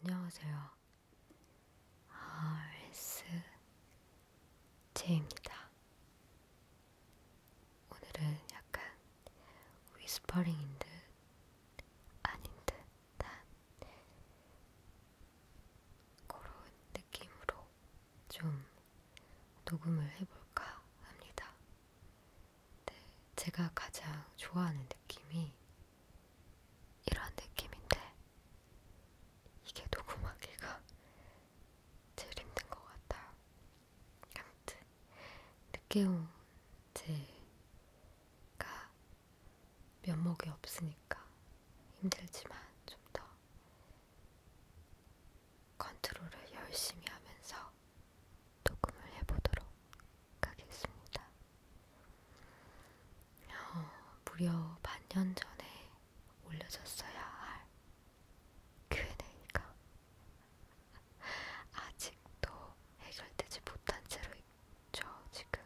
안녕하세요. RSJ입니다. 오늘은 약간 위스퍼링인 듯 아닌 듯한 그런 느낌으로 좀 녹음을 해볼까 합니다. 네, 제가 가장 좋아하는 느낌이 이런 느낌인데 이게 녹음하기가 제일 힘든 것 같아요. 아무튼 늦게 온 제가 면목이 없으니까 힘들지만 좀 더 컨트롤을 열심히 하면서 녹음을 해보도록 하겠습니다. 어, 무려 반년 전에 올려졌어야 할 Q&A가 아직도 해결되지 못한 채로 있죠, 지금.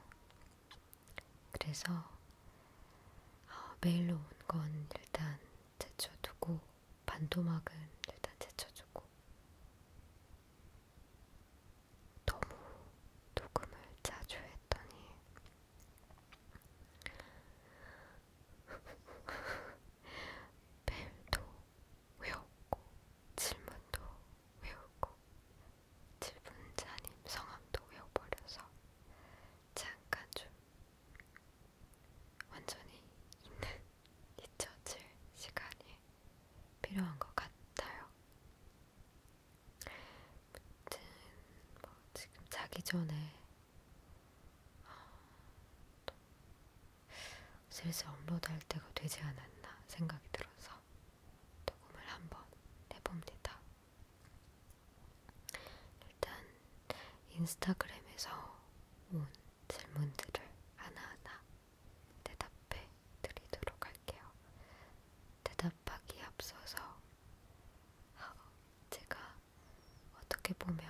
그래서 어, 메일로 온 건 일단 제쳐두고 반도막은 일단 제쳐주고 너무 녹음을 자주 했더니 벨도 외웠고 질문도 외우고 질문자님 성함도 외워버려서 잠깐 좀 완전히 있는 잊혀질 시간이 많이 필요한 것 같아요. 아무튼 뭐 지금 자기 전에 아, 슬슬 업로드할 때가 되지 않았나 생각이 들어서 녹음을 한번 해봅니다. 일단 인스타그램에서 온 질문들을 하나하나 대답해 드리도록 할게요. 대답하기 앞서서 제가 어떻게 보면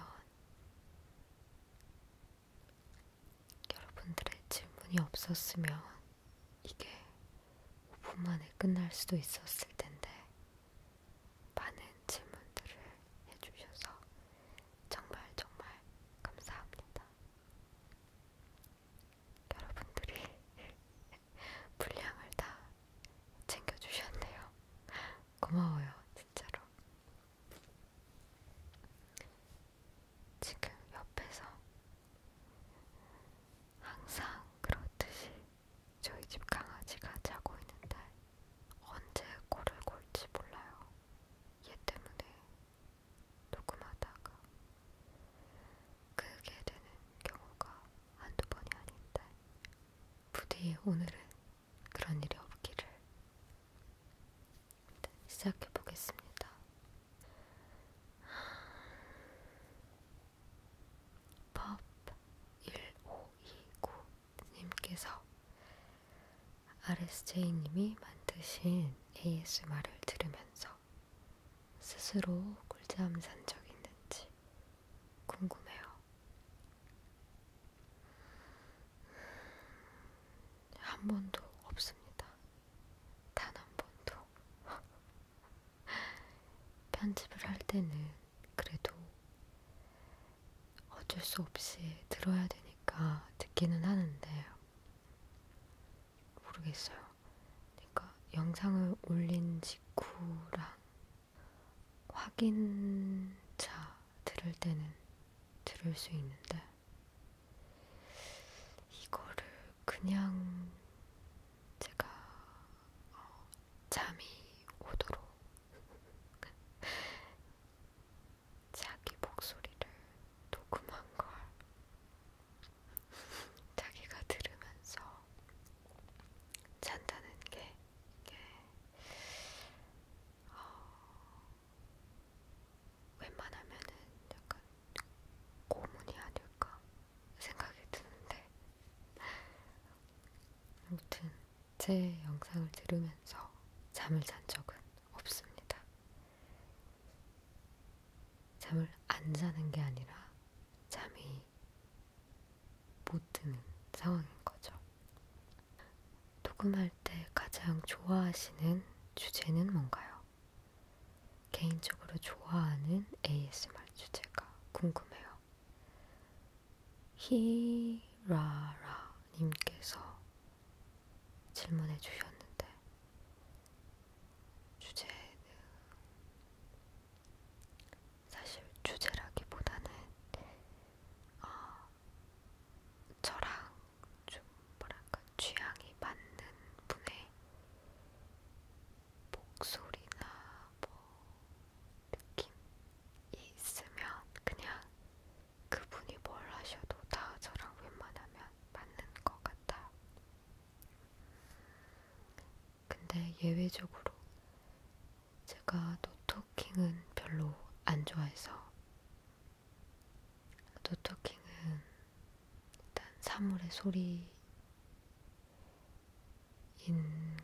여러분들의 질문이 없었으면 이게 5분 만에 끝날 수도 있었을 텐데 많은 질문들을 해주셔서 정말 정말 감사합니다. 여러분들이 분량을 다 챙겨주셨네요. 고마워요, 진짜로. 지금 옆에서 항상 그렇듯이 저희 집 강아지가 자고 있는데 언제 코를 골지 몰라요. 얘 때문에 녹음하다가 그게 되는 경우가 한두 번이 아닌데 부디 오늘은 그런 일이 없기를 네, 시작해 보겠습니다. 팝 1529님께서 RSJ님이 만드신 ASMR을 들으면서 스스로 꿀잠 산적 있는지 궁금해요. 한 번도 없습니다. 단 한 번도. 편집을 할 때는 그래도 어쩔 수 없이 들어야 되니까 듣기는 하는데 모르겠어요. 그러니까 영상을 올린 직후랑 확인차 들을 때는 들을 수 있는데 이거를 그냥 제가 어, 잠이 오도록 자기 목소리를 녹음한 걸 자기가 들으면서 잔다는 게 이게 어, 웬만하면은 약간 고문이 아닐까 생각이 드는데 아무튼 제 영상을 들으면서 잠을 잔 적은 없습니다. 잠을 안 자는 게 아니라 잠이 못 드는 상황인 거죠. 녹음할 때 가장 좋아하시는 주제는 뭔가요? 개인적으로 좋아하는 ASMR 주제가 궁금해요. 히라라님께서 질문해 주셨는데, 주제는 사실 주제라기보다는 어, 저랑 좀 뭐랄까 취향이 맞는 분의 목소리나 뭐 느낌이 있으면 그냥 그분이 뭘 하셔도 다 저랑 웬만하면 맞는 것 같아요. 근데 예외적으로 제가 노토킹은 별로 안 좋아해서 노토킹은 일단 사물의 소리인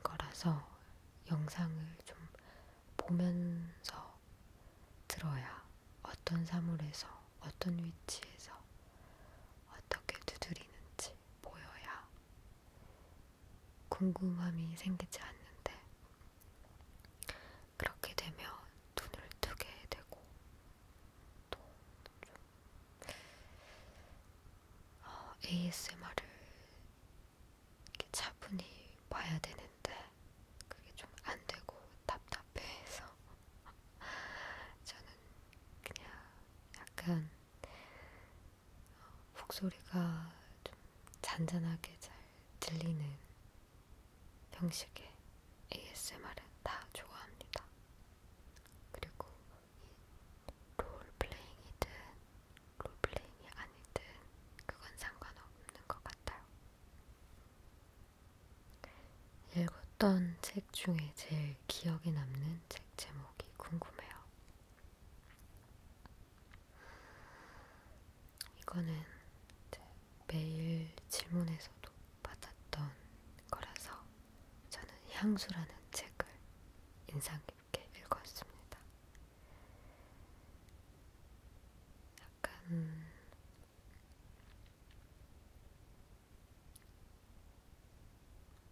거라서 영상을 좀 보면서 들어야 어떤 사물에서 어떤 위치에서 어떻게 두드리는지 보여야 궁금함이 생기지 않는데 그렇게 되면 눈을 뜨게 되고 또좀 어, ASMR을 이렇게 차분히 봐야 되는데 그게 좀 안 되고 답답해서 저는 그냥 약간 어, 목소리가 좀 잔잔하게 잘 들리는 형식의 ASMR은 다 좋아합니다. 그리고 롤플레잉이든 롤플레잉이 아니든 그건 상관없는 것 같아요. 읽었던 책 중에 제일 기억에 남는 책 제목이 궁금해요. 이거는 매일 질문에서도 받았던 거라서 저는 향수라는 책을 인상 깊게 읽었습니다. 약간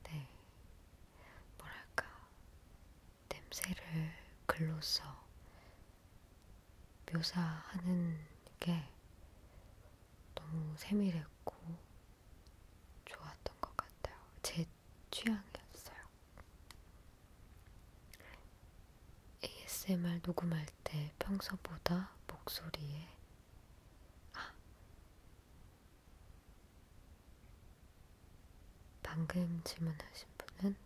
네, 뭐랄까, 냄새를 글로써 묘사하는 게 너무 세밀했고 좋았던 것 같아요. 제 취향이었어요. ASMR 녹음할 때 평소보다 목소리에 방금 질문하신 분은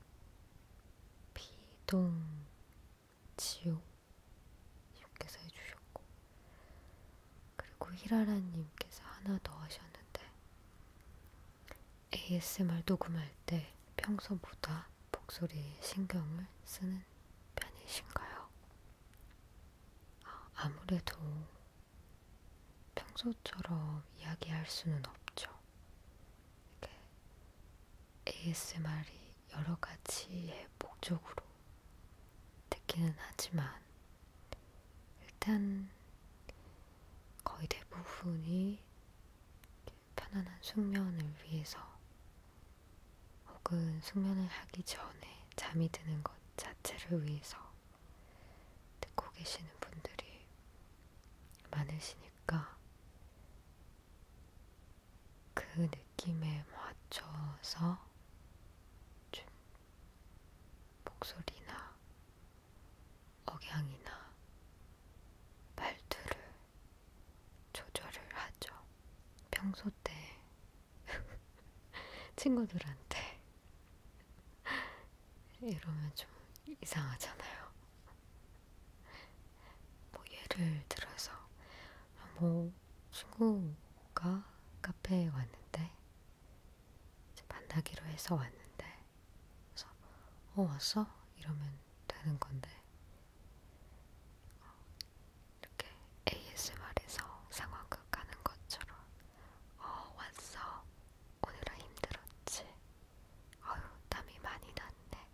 피동지옥님께서 해주셨고, 그리고 히라라님께서 하나 더 하셨는데, ASMR 녹음할 때 평소보다 목소리에 신경을 쓰는 편이신가요? 아무래도 평소처럼 이야기할 수는 없죠. ASMR이 여러 가지의 목적으로 듣기는 하지만 일단 거의 대부분이 편안한 숙면을 위해서 혹은 숙면을 하기 전에 잠이 드는 것 자체를 위해서 듣고 계시는 분들이 많으시니까 그 느낌에 맞춰서 좀 목소리나 억양이나 말투를 조절을 하죠. 평소 때 친구들한테 이러면 좀 이상하잖아요. 뭐 예를 들어서 뭐 친구가 카페에 왔는데 만나기로 해서 왔는데 그래서 어 왔어? 이러면 되는 건데 이렇게 ASMR에서 상황극 가는 것처럼 어 왔어 오늘은 힘들었지 어휴 땀이 많이 났네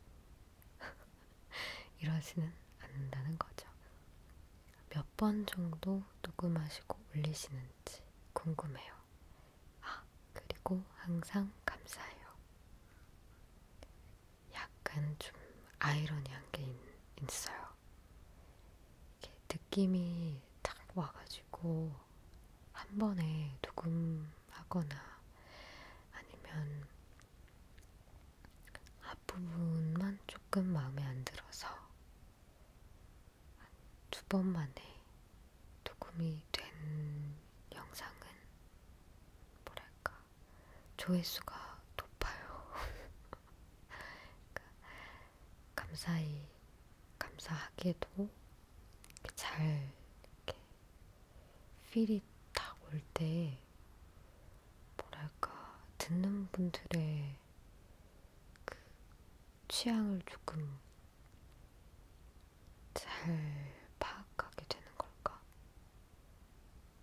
이러지는 않는다는 거죠. 몇 번 정도 녹음하시고 올리시는지 궁금해요. 아 그리고 항상 감사해요. 약간 좀 아이러니한 게 있, 있어요. 이렇게 느낌이 딱 와가지고 한 번에 녹음하거나 아니면 앞부분만 조금 마음에 안 들어서 두 번 만에 녹음이 된 영상은 뭐랄까 조회수가 높아요. 그러니까 감사히 감사하게도 이렇게 잘 이렇게 필이 딱올때 뭐랄까 듣는 분들의 그 취향을 조금 잘 파악하게 되는 걸까?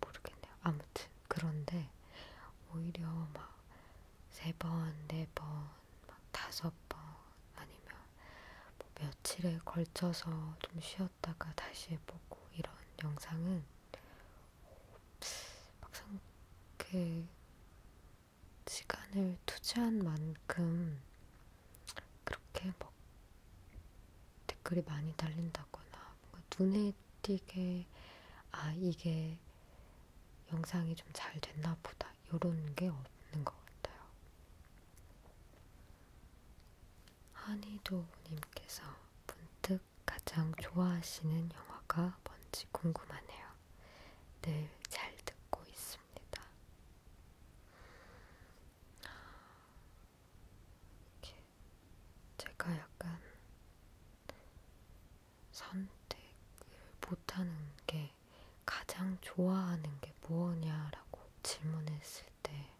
모르겠네요. 아무튼 그런데 오히려 막 세 번, 네 번, 막 다섯 번 아니면 뭐 며칠에 걸쳐서 좀 쉬었다가 다시 해보고 이런 영상은 막상 그 시간을 투자한 만큼 그렇게 막 뭐 댓글이 많이 달린다거나 뭔가 눈에 눈에 띄게 아 이게 영상이 좀 잘 됐나 보다 요런 게 없는 것 같아요. 한이도님께서 문득 가장 좋아하시는 영화가 뭔지 궁금하네요. 늘잘 네, 듣고 있습니다. 이렇게 제가 약간 선택을 못하는 게 가장 좋아하는 게 뭐냐라고 질문했을 때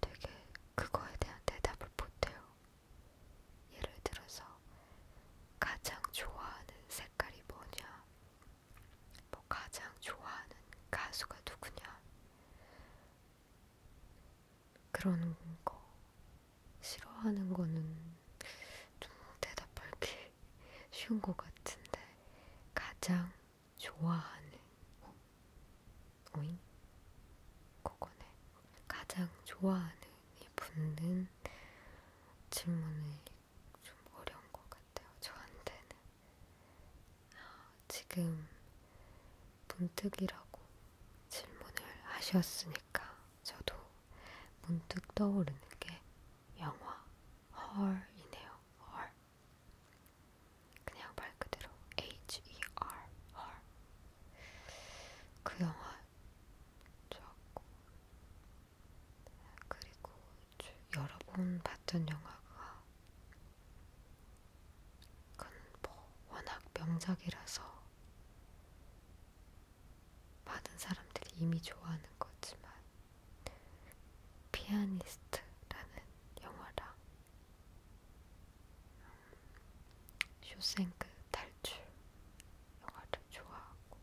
되게 그거에 대한 대답을 못해요. 예를 들어서 가장 좋아하는 색깔이 뭐냐, 뭐 가장 좋아하는 가수가 누구냐, 그런 거 싫어하는 거는 좀 대답하기 쉬운 것 같은데 가장 좋아하는 오잉? 그거네 가장 좋아하는 이 붙는 질문이 좀 어려운 것 같아요 저한테는 아, 지금 문득이라고 질문을 하셨으니까 저도 문득 떠오르는 게 영화 헐이네요. 헐. 그냥 말 그대로 H-E-R 헐. 그 영화 좋았고 그리고 여러 번 봤던 영화가 그건 뭐 워낙 명작이라서 많은 사람들이 이미 좋아하는 거지만 피아니스트라는 영화랑 쇼생크 탈출 영화를 좋아하고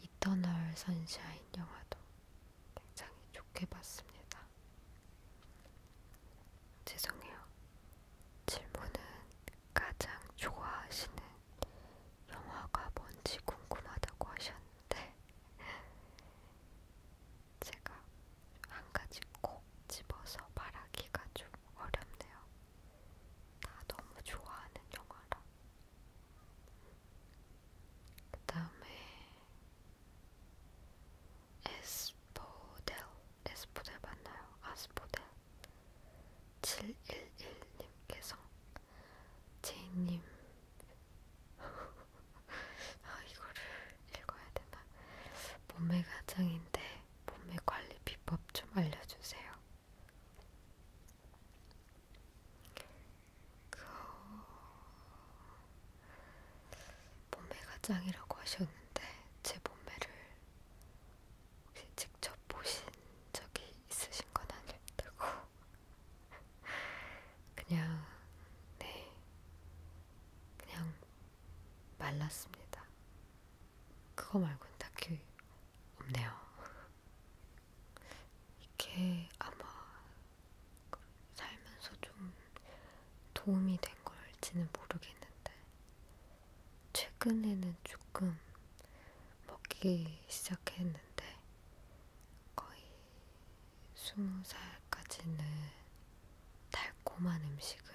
이터널 선샤인 영화도 굉장히 좋게 봤습니다. 죄송해요. 질문은 가장 좋아하시는 영화가 뭔지 궁금하다고 하셨는데 제가 한 가지 꼭 집어서 말하기가 좀 어렵네요. 다 너무 좋아하는 영화라. 그 다음에 에스포델 에스포델 맞나요? 아스포델 711님께서 제이님 아 이거를 읽어야 되나 몸매 가장인데 몸매 관리 비법 좀 알려주세요. 그... 몸매가 짱이라고 하셨는데 제 몸매를 혹시 직접 보신 적이 있으신 건 아닐 테고 그냥 네 그냥 말랐습니다. 그거 말고는 딱히 없네요. 이게 아마 살면서 좀 도움이 된 걸지는 모르겠는데 최근에는 조금 먹기 시작했는데 거의 스무 살까지는 달콤한 음식을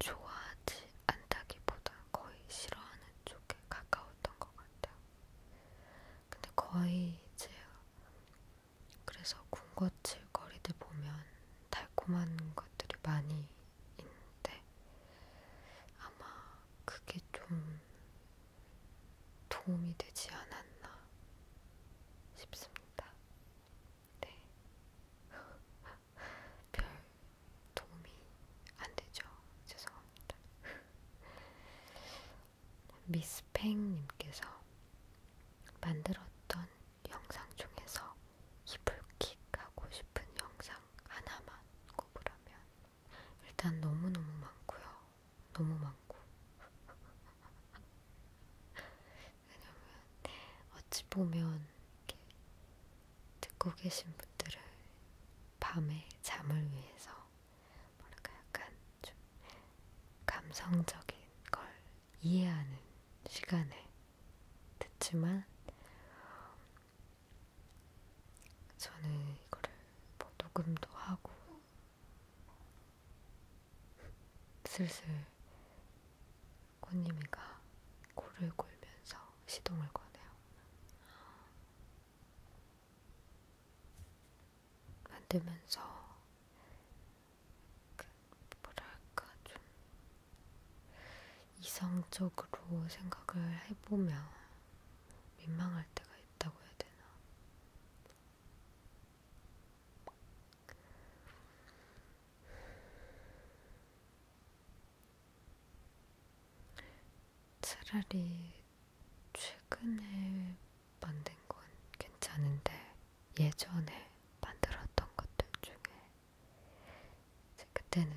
좋아하지 않다기보다 거의 싫어하는 쪽에 가까웠던 것 같아요. 근데 거의 이제 그래서 군것질거리들 보면 달콤한 것들이 많이 있는데 아마 그게 좀 도움이 되지 않았나 싶습니다. 네. 별 도움이 안 되죠. 죄송합니다. 미스팽님께서 만들었던 영상 중에서 이불킥 하고 싶은 영상 하나만 꼽으라면 일단 너무너무 많고요. 너무 많고. 왜냐면 어찌 보면 이렇게 듣고 계신 분들은 밤에 잠을 위해서 뭐랄까 약간 좀 감성적인 걸 이해하는 시간을 됐지만 저는 이거를 뭐 녹음도 하고 슬슬 꽃님이가 코를 골면서 시동을 거네요. 만들면서 그 뭐랄까 좀 이성적으로 생각을 해보면 민망할 때가 있다고 해야 되나? 차라리 최근에 만든 건 괜찮은데 예전에 만들었던 것들 중에 그때는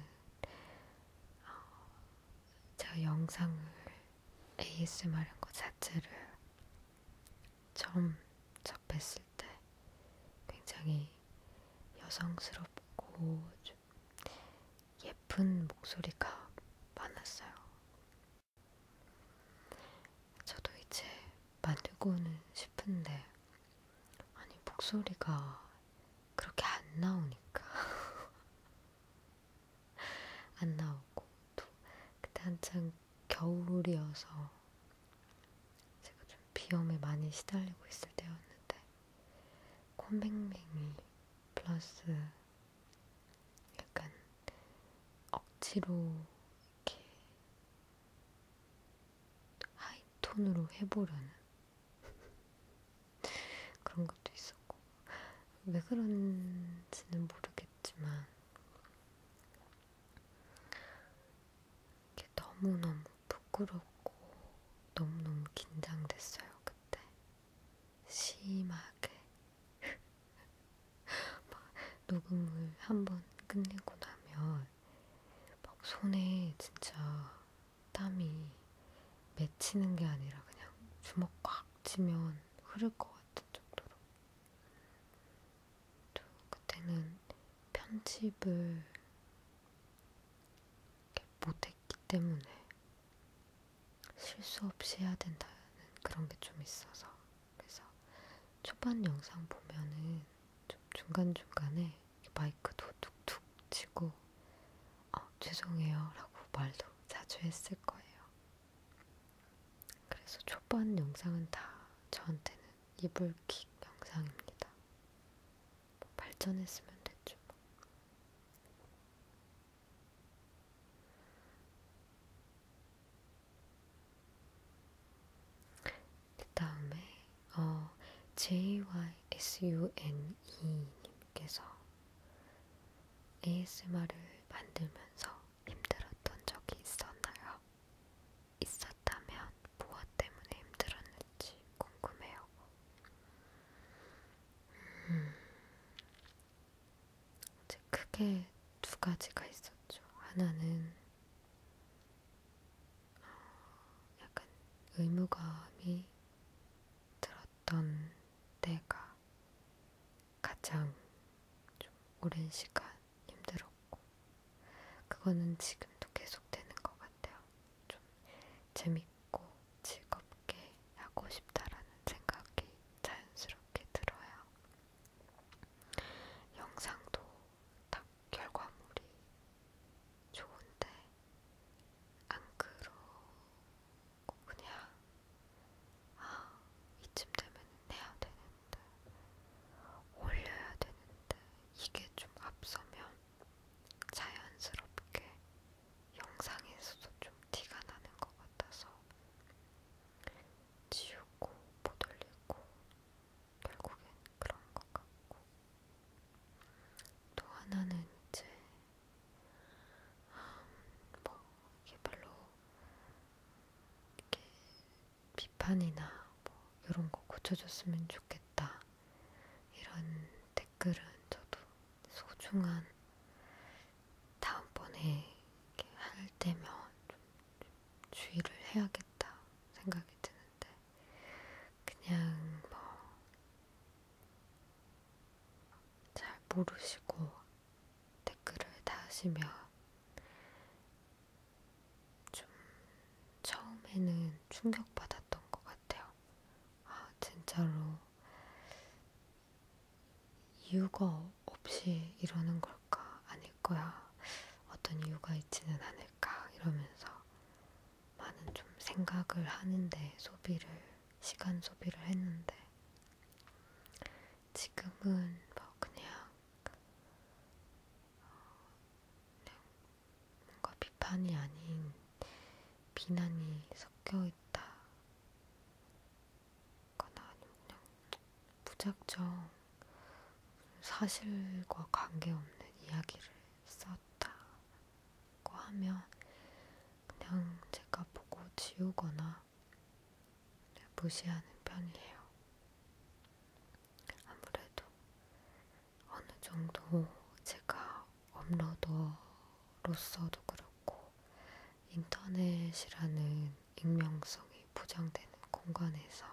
어, 제가 영상을 ASMR인 것 자체를 처음 접했을 때 굉장히 여성스럽고 좀 예쁜 목소리가 많았어요. 저도 이제 만들고는 싶은데 아니, 목소리가 그렇게 안 나오니까. 안 나오고, 또, 그때 한창 겨울이어서 제가 좀 비염에 많이 시달리고 있을 때였는데, 콧맹맹이 플러스 약간 억지로 이렇게 하이톤으로 해보려는 그런 것도 있었고 왜 그런지는 모르겠지만 이게 너무너무 부끄럽고 너무너무 긴장됐어요 그때 심하게 녹음을 한 번 끝내고 나면 막 손에 진짜 땀이 맺히는 게 아니라 그냥 주먹 꽉 치면 흐를 것 같은 정도로. 또 그때는 편집을 못했기 때문에 실수 없이 해야 된다는 그런 게 좀 있어서. 그래서 초반 영상 보면은 좀 중간중간에 마이크도 툭툭 치고 아, 죄송해요 라고 말도 자주 했을 거예요. 그래서 초반 영상은 다 저한테는 이불킥 영상입니다. 뭐 발전했으면 됐죠. 뭐. 그 다음에 어, JYSUNE님께서 ASMR을 만들면서 힘들었던 적이 있었나요? 있었다면 무엇 때문에 힘들었는지 궁금해요. 음, 이제 크게 두 가지가 있었죠. 하나는 약간 의무감이 들었던 때가 가장 좀 오랜 시간 힘들었고, 그거는 지금도 계속되는 것 같아요. 좀 재밌고 즐겁게 하고 싶다라는 생각이 자연스럽게 들어요. 영상도 딱 결과물이 좋은데 안 그러고 그냥 아 이쯤 되면 내야 되는데 올려야 되는데 이게 좀 앞서면 자연스럽게 영상에서도 좀 티가 나는 것 같아서 지우고 못 올리고 결국엔 그런 것 같고 또 하나는 이제 음, 뭐 이게 별로 이렇게 비판이나 뭐 이런 거 고쳐줬으면 좋겠다 이런 댓글은 저도 소중한 다음번에 할 때면 좀 주의를 해야겠다 생각이 드는 했는데 그냥 뭐 잘 모르시고 댓글을 다시면 좀 처음에는 충격받았던 것 같아요. 아 진짜로 이유가 없이 이러는 걸까? 아닐 거야. 어떤 이유가 있지는 않을까? 이러면서 많은 좀 생각을 하는데 소비를 시간 소비를 했는데 지금은 뭐 그냥, 어, 그냥 뭔가 비판이 아닌 비난이 섞여 있다거나 아니면 그냥 무작정 사실과 관계없는 이야기를 쌓아 되었다고 하면 그냥 제가 보고 지우거나 무시하는 편이에요. 아무래도 어느 정도 제가 업로더로서도 그렇고 인터넷이라는 익명성이 보장되는 공간에서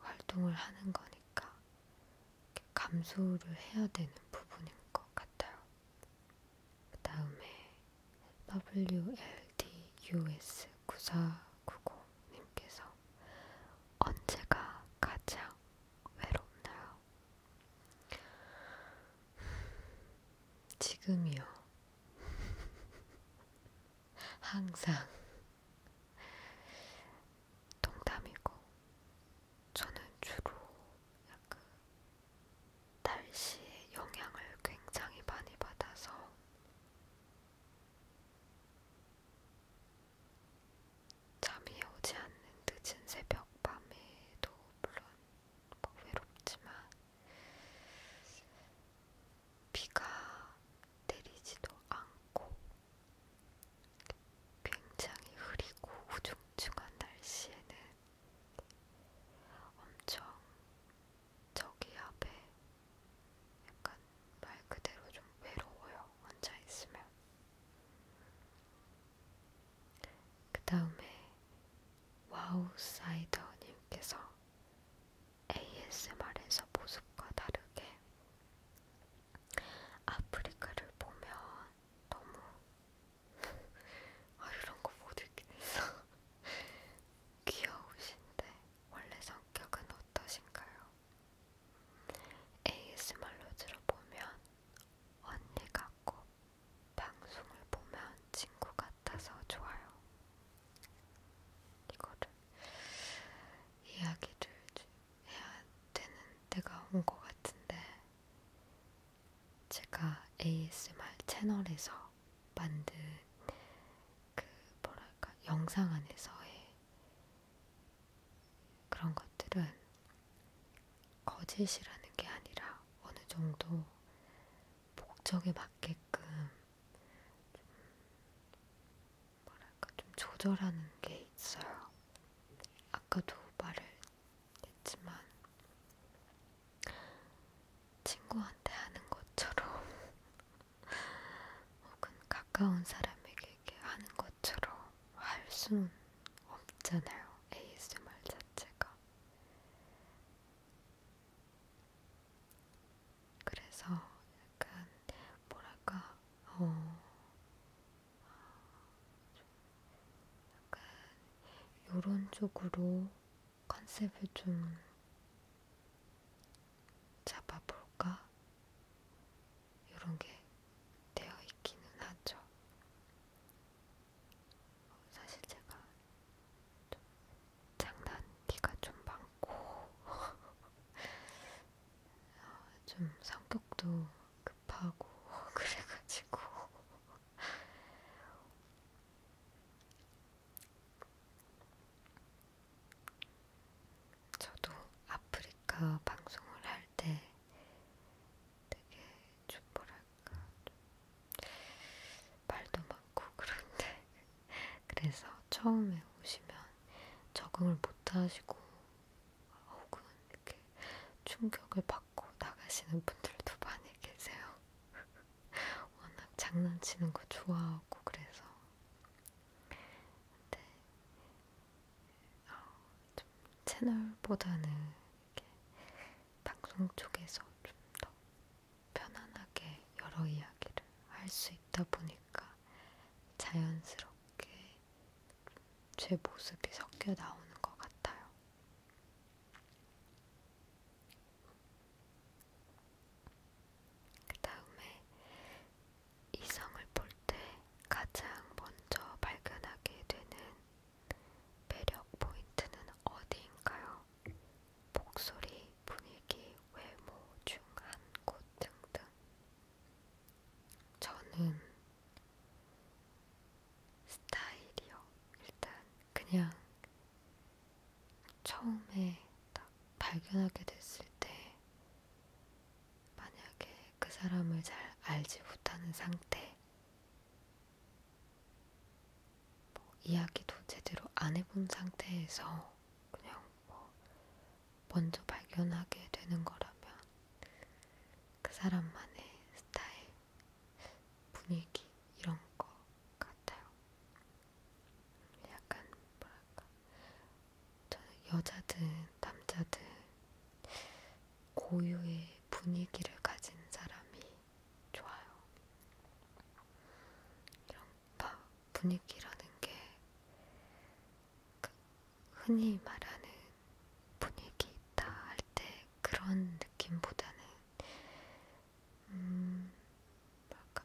활동을 하는 거니까 감소를 해야 되는 부분인 것 같아요. 그 다음에 WLDUS9490님께서 언제가 가장 외롭나요? 지금이요. 항상 동담이고 저는 주로 약간 날씨의 영향을 굉장히 많이 받아서 잠이 오지 않는 늦은 새벽 밤에도 물론 뭐 외롭지만 비가 내리지도 않고 굉장히 흐리고 우중충한 날씨에는 엄청 저기 앞에 약간 말 그대로 좀 외로워요. 혼자 있으면. 그 다음에 와우사이더님께서 ASMR에서 모습과 다르게 아프리카를 보면 너무 아 이런 거 못 읽겠어 귀여우신데 원래 성격은 어떠신가요? ASMR로 들어보면 언니 같고 방송을 보면 친구 같아서 좋아요. 이거를 이야기를 해야 되는 때가 온 것 같은데 제가 ASMR 채널에서 만든 그 뭐랄까 영상 안에서의 그런 것들은 거짓이라는 게 아니라 어느 정도 목적에 맞게끔 뭐랄까 좀 조절하는 게 있어요. 아까도 말을 했지만 친구한테 하는 것처럼 혹은 가까운 사람에게 하는 것처럼 할 수는 없잖아요. ASMR 자체가. 그래서 약간 뭐랄까 어, 약간 요런 쪽으로 컨셉을 좀 잡아볼까? 요런 게 되어 있기는 하죠. 사실 제가 장난기가 좀 많고 좀 성격도 급하고 그래가지고 저도 아프리카 방송을 할 때 되게 좀 뭐랄까 좀 말도 많고 그런데 그래서 처음에 오시면 적응을 못하시고 혹은 이렇게 충격을 받고 나가시는 분들도 많이 계세요. 워낙 장난치는 거 좋아하고 그래서 근데 어, 좀 채널보다는 이렇게 방송 쪽에서 좀 더 편안하게 여러 이야기를 할 수 있다 보니까 자연스럽게 제 모습이 섞여 나오는 것 같아요. 그 다음에 이성을 볼 때 가장 먼저 발견하게 되는 매력 포인트는 어디인가요? 목소리, 분위기, 외모 중 한 곳 등등. 저는 스타일이요. 일단 그냥 처음에 딱 발견하게 됐을 때 만약에 그 사람을 잘 알지 못하는 상태 뭐 이야기도 제대로 안 해본 상태에서 그냥 뭐 먼저 발견하게 되는 거라면 그 사람만의 스타일, 분위기 이런 거 같아요. 약간 뭐랄까 저는 여자든 남자든 고유의 분위기를 가진 사람이 좋아요. 이런 분위기라는 게 흔히 말하는 분위기 있다 할 때 그런 느낌보다는 음,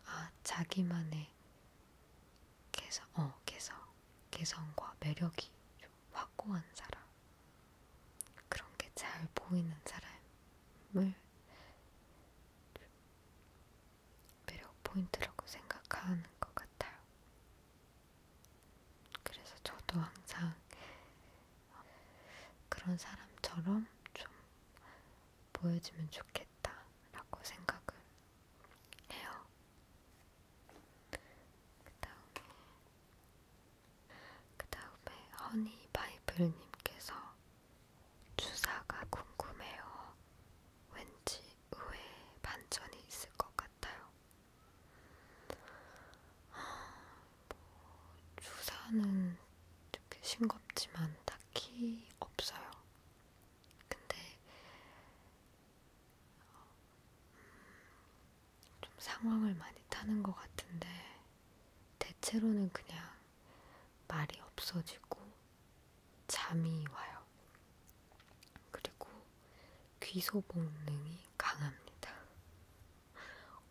아, 자기만의 개성, 어, 개성, 개성과 매력이 좀 확고한 사람, 그런 게 잘 보이는 사람을 매력 포인트라고 생각하는 것 같아요. 그래서 저도 항상 그런 사람처럼 좀 보여지면 좋겠다라고 생각을 해요. 그 다음에, 그 다음에 허니바이블님께서 주사가 궁금해요. 왠지 후에 반전이 있을 것 같아요. 뭐 주사는 이렇게 싱겁지만 딱히 없어요. 근데 어, 음, 좀 상황을 많이 타는 것 같은데 대체로는 그냥 말이 없어지고 잠이 와요. 그리고 귀소 본능이 강합니다.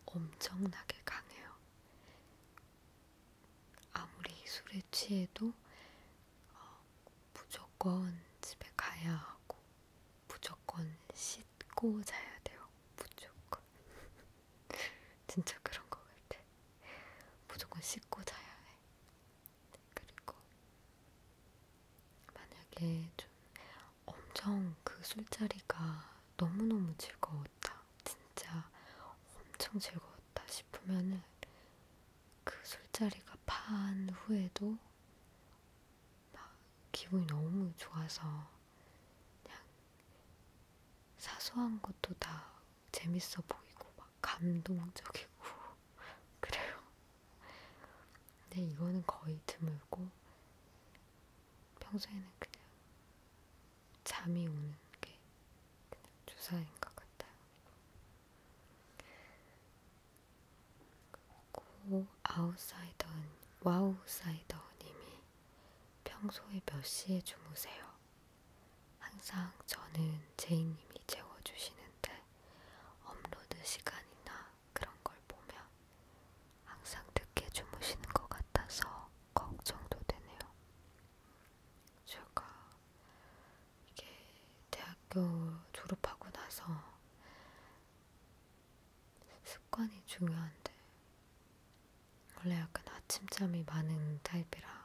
엄청나게 강해요. 아무리 술에 취해도 어, 무조건 집에 가야 하고, 무조건 씻고 자야 돼요. 무조건. 진짜 그런 것 같아. 무조건 씻고 자야 해. 그리고 만약에 좀 엄청 그 술자리가 너무너무 즐거웠다. 진짜 엄청 즐거웠다 싶으면은 그 술자리가 파한 후에도 막 기분이 너무 좋아서 그냥 사소한 것도 다 재밌어 보이고 막 감동적이고 그래요. 근데 이거는 거의 드물고 평소에는 그냥 잠이 오는 게 그냥 주사인 것 같아요. 그리고 아웃사이더는 와우사이더님이 평소에 몇 시에 주무세요? 항상 저는 제이님이 재워주시는데 업로드 시간이나 그런 걸 보면 항상 늦게 주무시는 것 같아서 걱정도 되네요. 제가 이게 대학교 졸업하고 나서 습관이 중요한데 원래 약간 아침잠이 많은 타입이라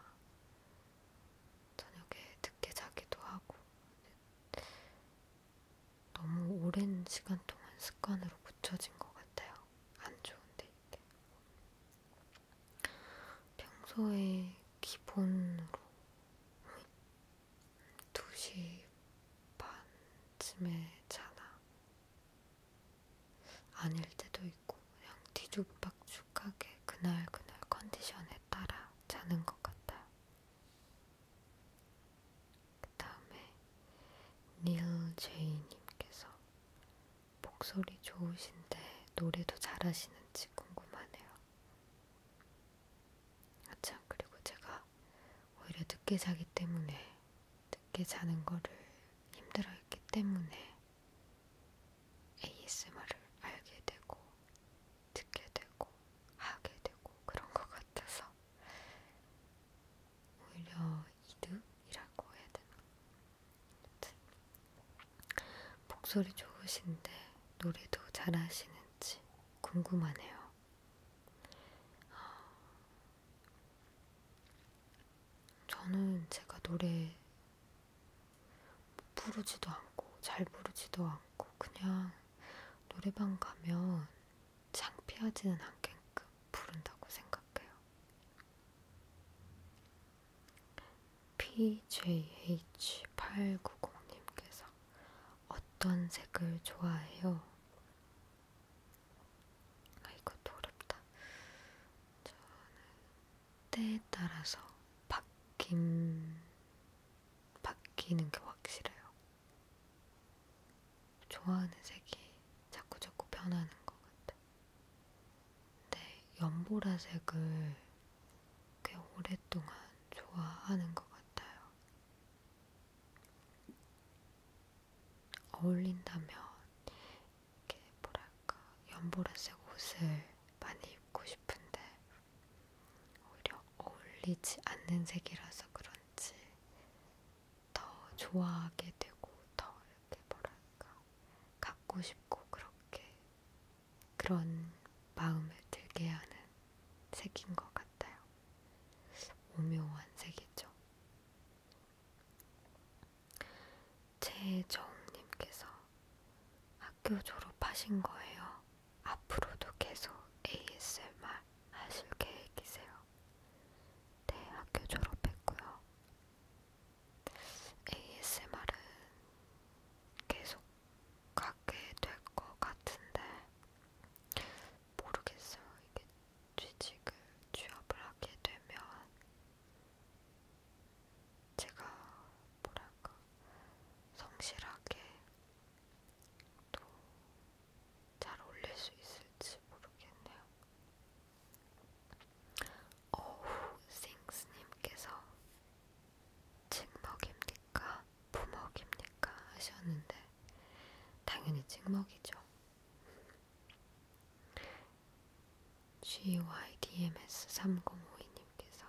저녁에 늦게 자기도 하고 너무 오랜 시간 동안 습관으로 굳혀진 것 같아요. 안 좋은데 이게. 평소에 기본으로 2시 반쯤에 자나 아닐 때도 있고 그냥 뒤죽박죽하게 그날그날 컨디션에 따라 자는 것 같아요. 그 다음에 닐 제이님께서 목소리 좋으신데 노래도 잘하시는지 궁금하네요. 아참 그리고 제가 오히려 늦게 자기 때문에 늦게 자는 거를 힘들어했기 때문에 ASMR을 알게 되고 듣게 되고 하게 되고 그런 것 같아서 오히려 이득이라고 해야 되나? 아무튼 목소리 좋으신데 노래도 잘하시는지 궁금하네요. 어, 저는 제가 노래 부르지도 않고 잘 부르지도 않고 그냥 노래방 가면 창피하지는 않게끔 부른다고 생각해요. PJH890님께서 어떤 색을 좋아해요? 아, 이것도 어렵다. 저는 때에 따라서 바뀜, 바뀌는 게 확실해요. 좋아하는 색이 자꾸 자꾸 변하는 것 같아. 근데 연보라색을 꽤 오랫동안 좋아하는 것 같아요. 어울린다면 이렇게 뭐랄까 연보라색 옷을 많이 입고 싶은데 오히려 어울리지 않는 색이라서 그런지 더 좋아하게 되고 더 이렇게 뭐랄까 갖고 싶고 그렇게 그런 마음을 들게 하는 색인 것 같아요. 오묘한 색이죠. 최정님께서 학교 졸업하신 거예요. 앞으로도 계속 ASMR 하실 계획이세요? 네, 학교 졸업했고요. ASMR은 계속 가게 될 것 같은데 모르겠어요. 이게 취직을 취업을 하게 되면 제가 뭐랄까 성실하게 또잘 올릴 수 있을지 모르겠네요. 어후 싱스님께서 찍먹입니까? 부먹입니까? 하셨는데 당연히 찍먹이죠. GYDMS3052님께서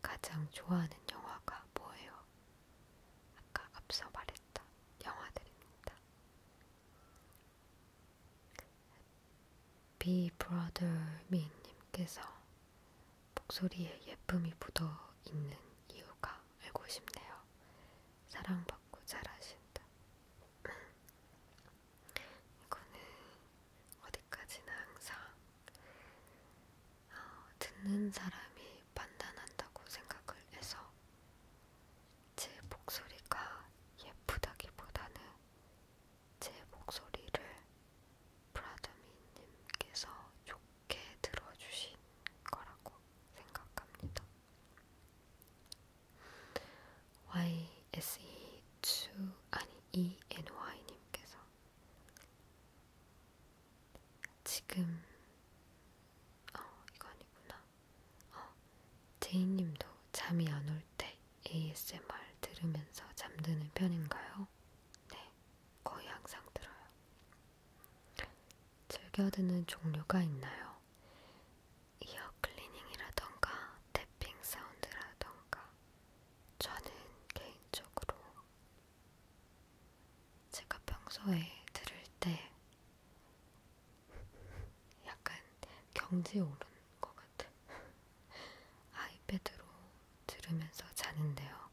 가장 좋아하는 영화가 뭐예요? 아까 앞서 말했던 영화들입니다. 비브라더미님께서 목소리에 예쁨이 묻어있는 이유가 알고 싶네요. 사랑받고 잘하신다. 이거는 어디까지나 항상 어, 듣는 사람이 판단한다고 생각을 해서 제 목소리가 예쁘다기보다는 제 목소리를 브라더미님께서 좋게 들어주신 거라고 생각합니다. YSE2 아니 ENY님께서 지금 어 이거 아니구나. 어 제이님도 잠이 안 올 때 ASMR 들으면서 잠드는 편인가요? 네, 거의 항상 들어요. 즐겨 듣는 종류가 있나요? 이어 클리닝이라던가, 태핑 사운드라던가. 저는 개인적으로 제가 평소에 들을 때 약간 경지에 오른 것 같아. 아이패드로 들으면서 자는데요.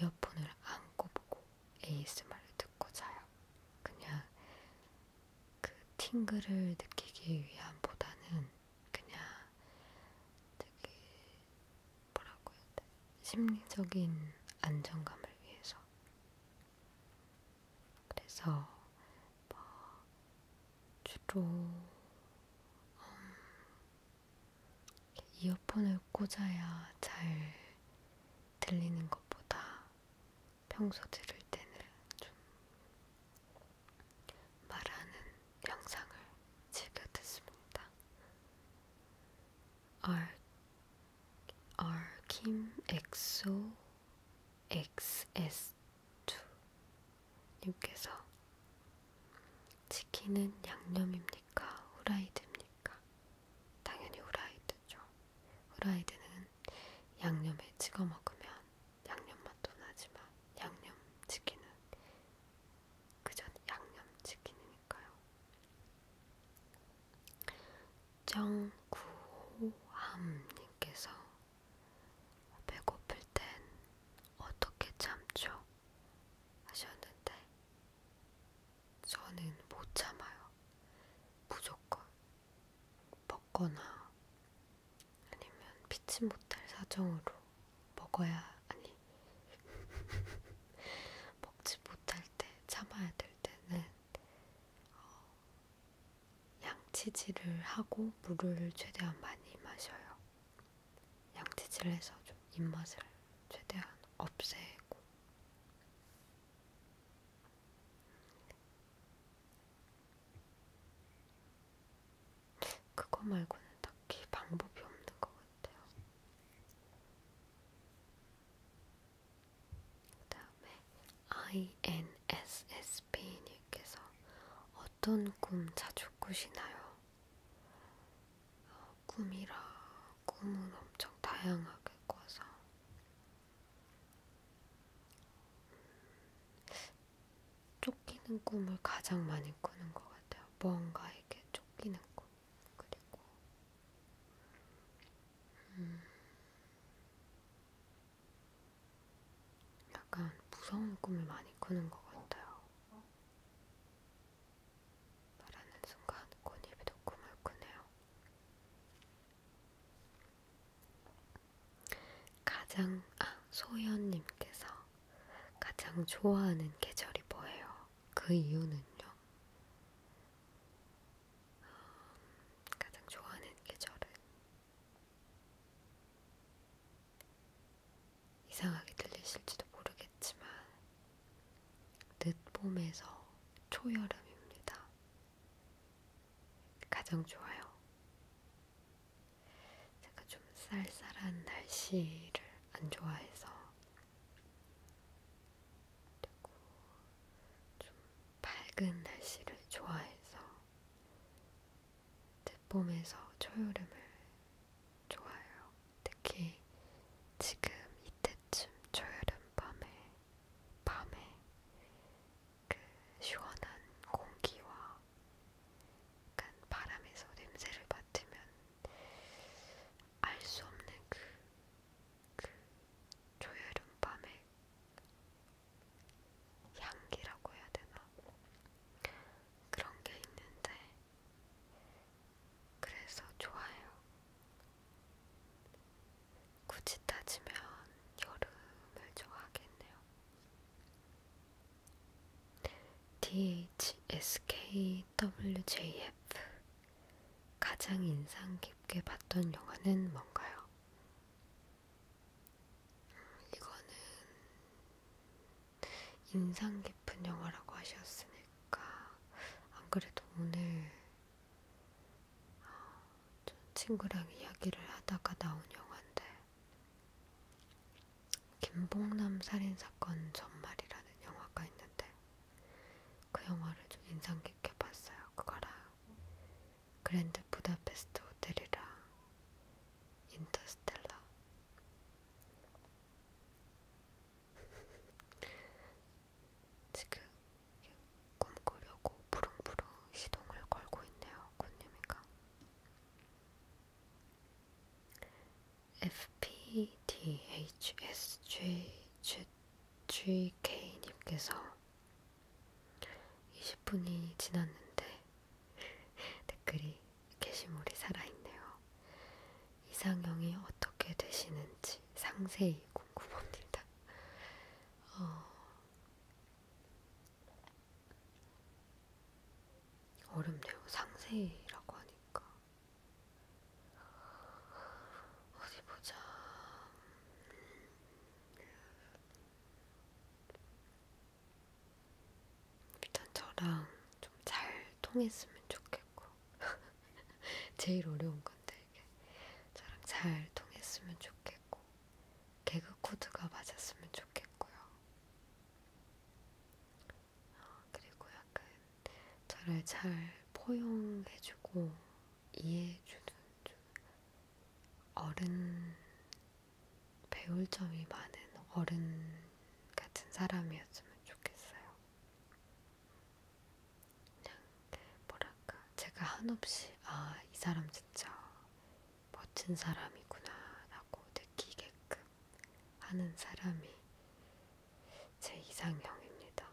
이어폰을 안고 보고 ASMR을 듣고 자요. 그냥 그 팅글을 느끼기 위함보다는 그냥 되게 뭐라고 해야 돼? 심리적인 안정감을 위해서. 그래서 뭐 주로 음, 이어폰을 꽂아야 잘 들리는 것보다 평소 들을 때는 좀 말하는 영상을 즐겨 듣습니다. 알, 알킴 엑소 XS2 님께서 치킨은 양념입니까? 후라이드입니까? 당연히 후라이드죠. 후라이드는 양념에 찍어 먹으면 양념 맛도 나지만 양념 치킨은 그전 양념치킨이니까요. 정구호함님께서 배고플 땐 어떻게 참죠? 하셨는데 저는 못 참아요. 무조건 먹거나 아니면 피치 못할 사정으로 먹어야 아니 먹지 못할 때 참아야 될 때는 어, 양치질을 하고 물을 최대한 많이 마셔요. 양치질을 해서 좀 입맛을 최대한 없애고 그거 말고는 딱히 방법이 없는 것 같아요. 그 다음에 INSSP님께서 어떤 꿈 자주 꾸시나요? 어, 꿈이라 꿈은 엄청 다양하게 꿔서 음, 쫓기는 꿈을 가장 많이 꾸는 것 같아요. 뭔가에게 쫓기는 꿈. 그리고 음, 약간 무서운 꿈을 많이 꾸는 것 같아요. 말하는 순간 꽃잎이도 꿈을 꾸네요. 가장 아 소연님께서 가장 좋아하는 계절이 뭐예요? 그 이유는요. 음, 가장 좋아하는 계절은 이상하게 들리실지도 모르겠지만 늦봄에서 초여름입니다. 가장 좋아요. 제가 좀 쌀쌀한 날씨를 안 좋아해서 그리고 좀 밝은 날씨를 좋아해서 봄에서 초여름을 좋아해요. 특히 지금 이때쯤 초여름 밤에 밤에 그 시원한 공기와 약간 바람에서 냄새를 맡으면 알수 없는 그, 그 조여름 밤의 향기라고 해야 되나? 그런 게 있는데, 그래서 좋아요. 굳이 따지면 여름을 좋아하겠네요. DHSKWJF 가장 인상 깊게 봤던 영화는 뭔가요? 이거는 인상 깊은 영화라고 하셨으니까 안 그래도 오늘 어, 친구랑 이야기를 하다가 나온 영화인데 김봉남 살인사건 전말이라는 영화가 있는데 그 영화를 좀 인상 깊게 봤어요. 그거랑 그랜드 부다페스트 호텔이랑 인터스텔라. 지금 꿈꾸려고 부릉부릉 시동을 걸고 있네요. 꽃님이가 FPDHSGGK님께서 20분이 지났는데 댓글이 게시물이 살아있네요. 이상형이 어떻게 되시는지 상세히 궁금합니다. 어... 어렵네요. 상세히라고 하니까. 어디 보자. 일단 저랑 좀 잘 통했으면 좋겠고 제일 어려운 건데 이게 저랑 잘 통했으면 좋겠고 개그 코드가 맞았으면 좋겠고요. 그리고 약간 저를 잘 포용해주고 이해해주는 좀 어른 배울 점이 많은 어른 같은 사람이었으면 좋겠어요. 그냥 뭐랄까 제가 한없이 아 이 사람 진짜 멋진 사람이구나 라고 느끼게끔 하는 사람이 제 이상형입니다.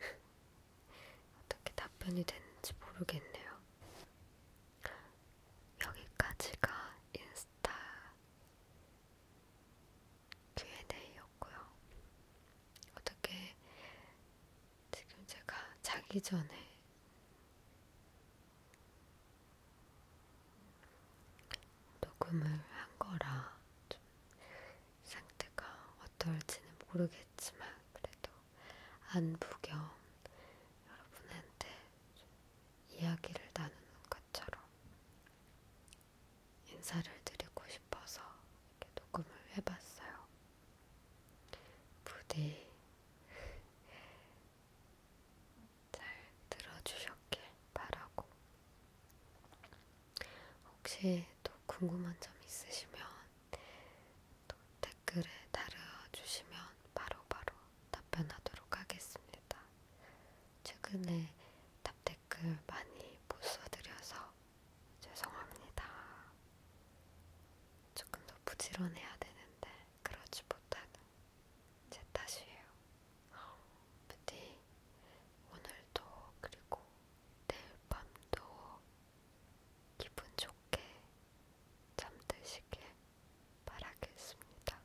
어떻게 답변이 됐는지 모르겠네요. 여기까지가 인스타 Q&A였고요. 어떻게 지금 제가 자기 전에 녹음을 한 거라 좀 상태가 어떨지는 모르겠지만 그래도 안부 겸 여러분한테 좀 이야기를 나누는 것처럼 인사를 드리고 싶어서 이렇게 녹음을 해봤어요. 부디 잘 들어주셨길 바라고 혹시 또 궁금한 점 있으시면 또 댓글에 달아주시면 바로바로 답변하도록 하겠습니다. 최근에 답댓글 많이 못 써드려서 죄송합니다. 조금 더 부지런해야 되는데 그러지 못하는 제 탓이에요. 부디 오늘도 그리고 내일 밤도 기분 좋게 잠드시길 바라겠습니다.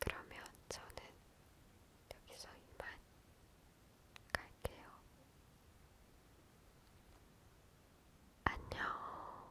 그러면 저는 여기서 이만 갈게요. 안녕.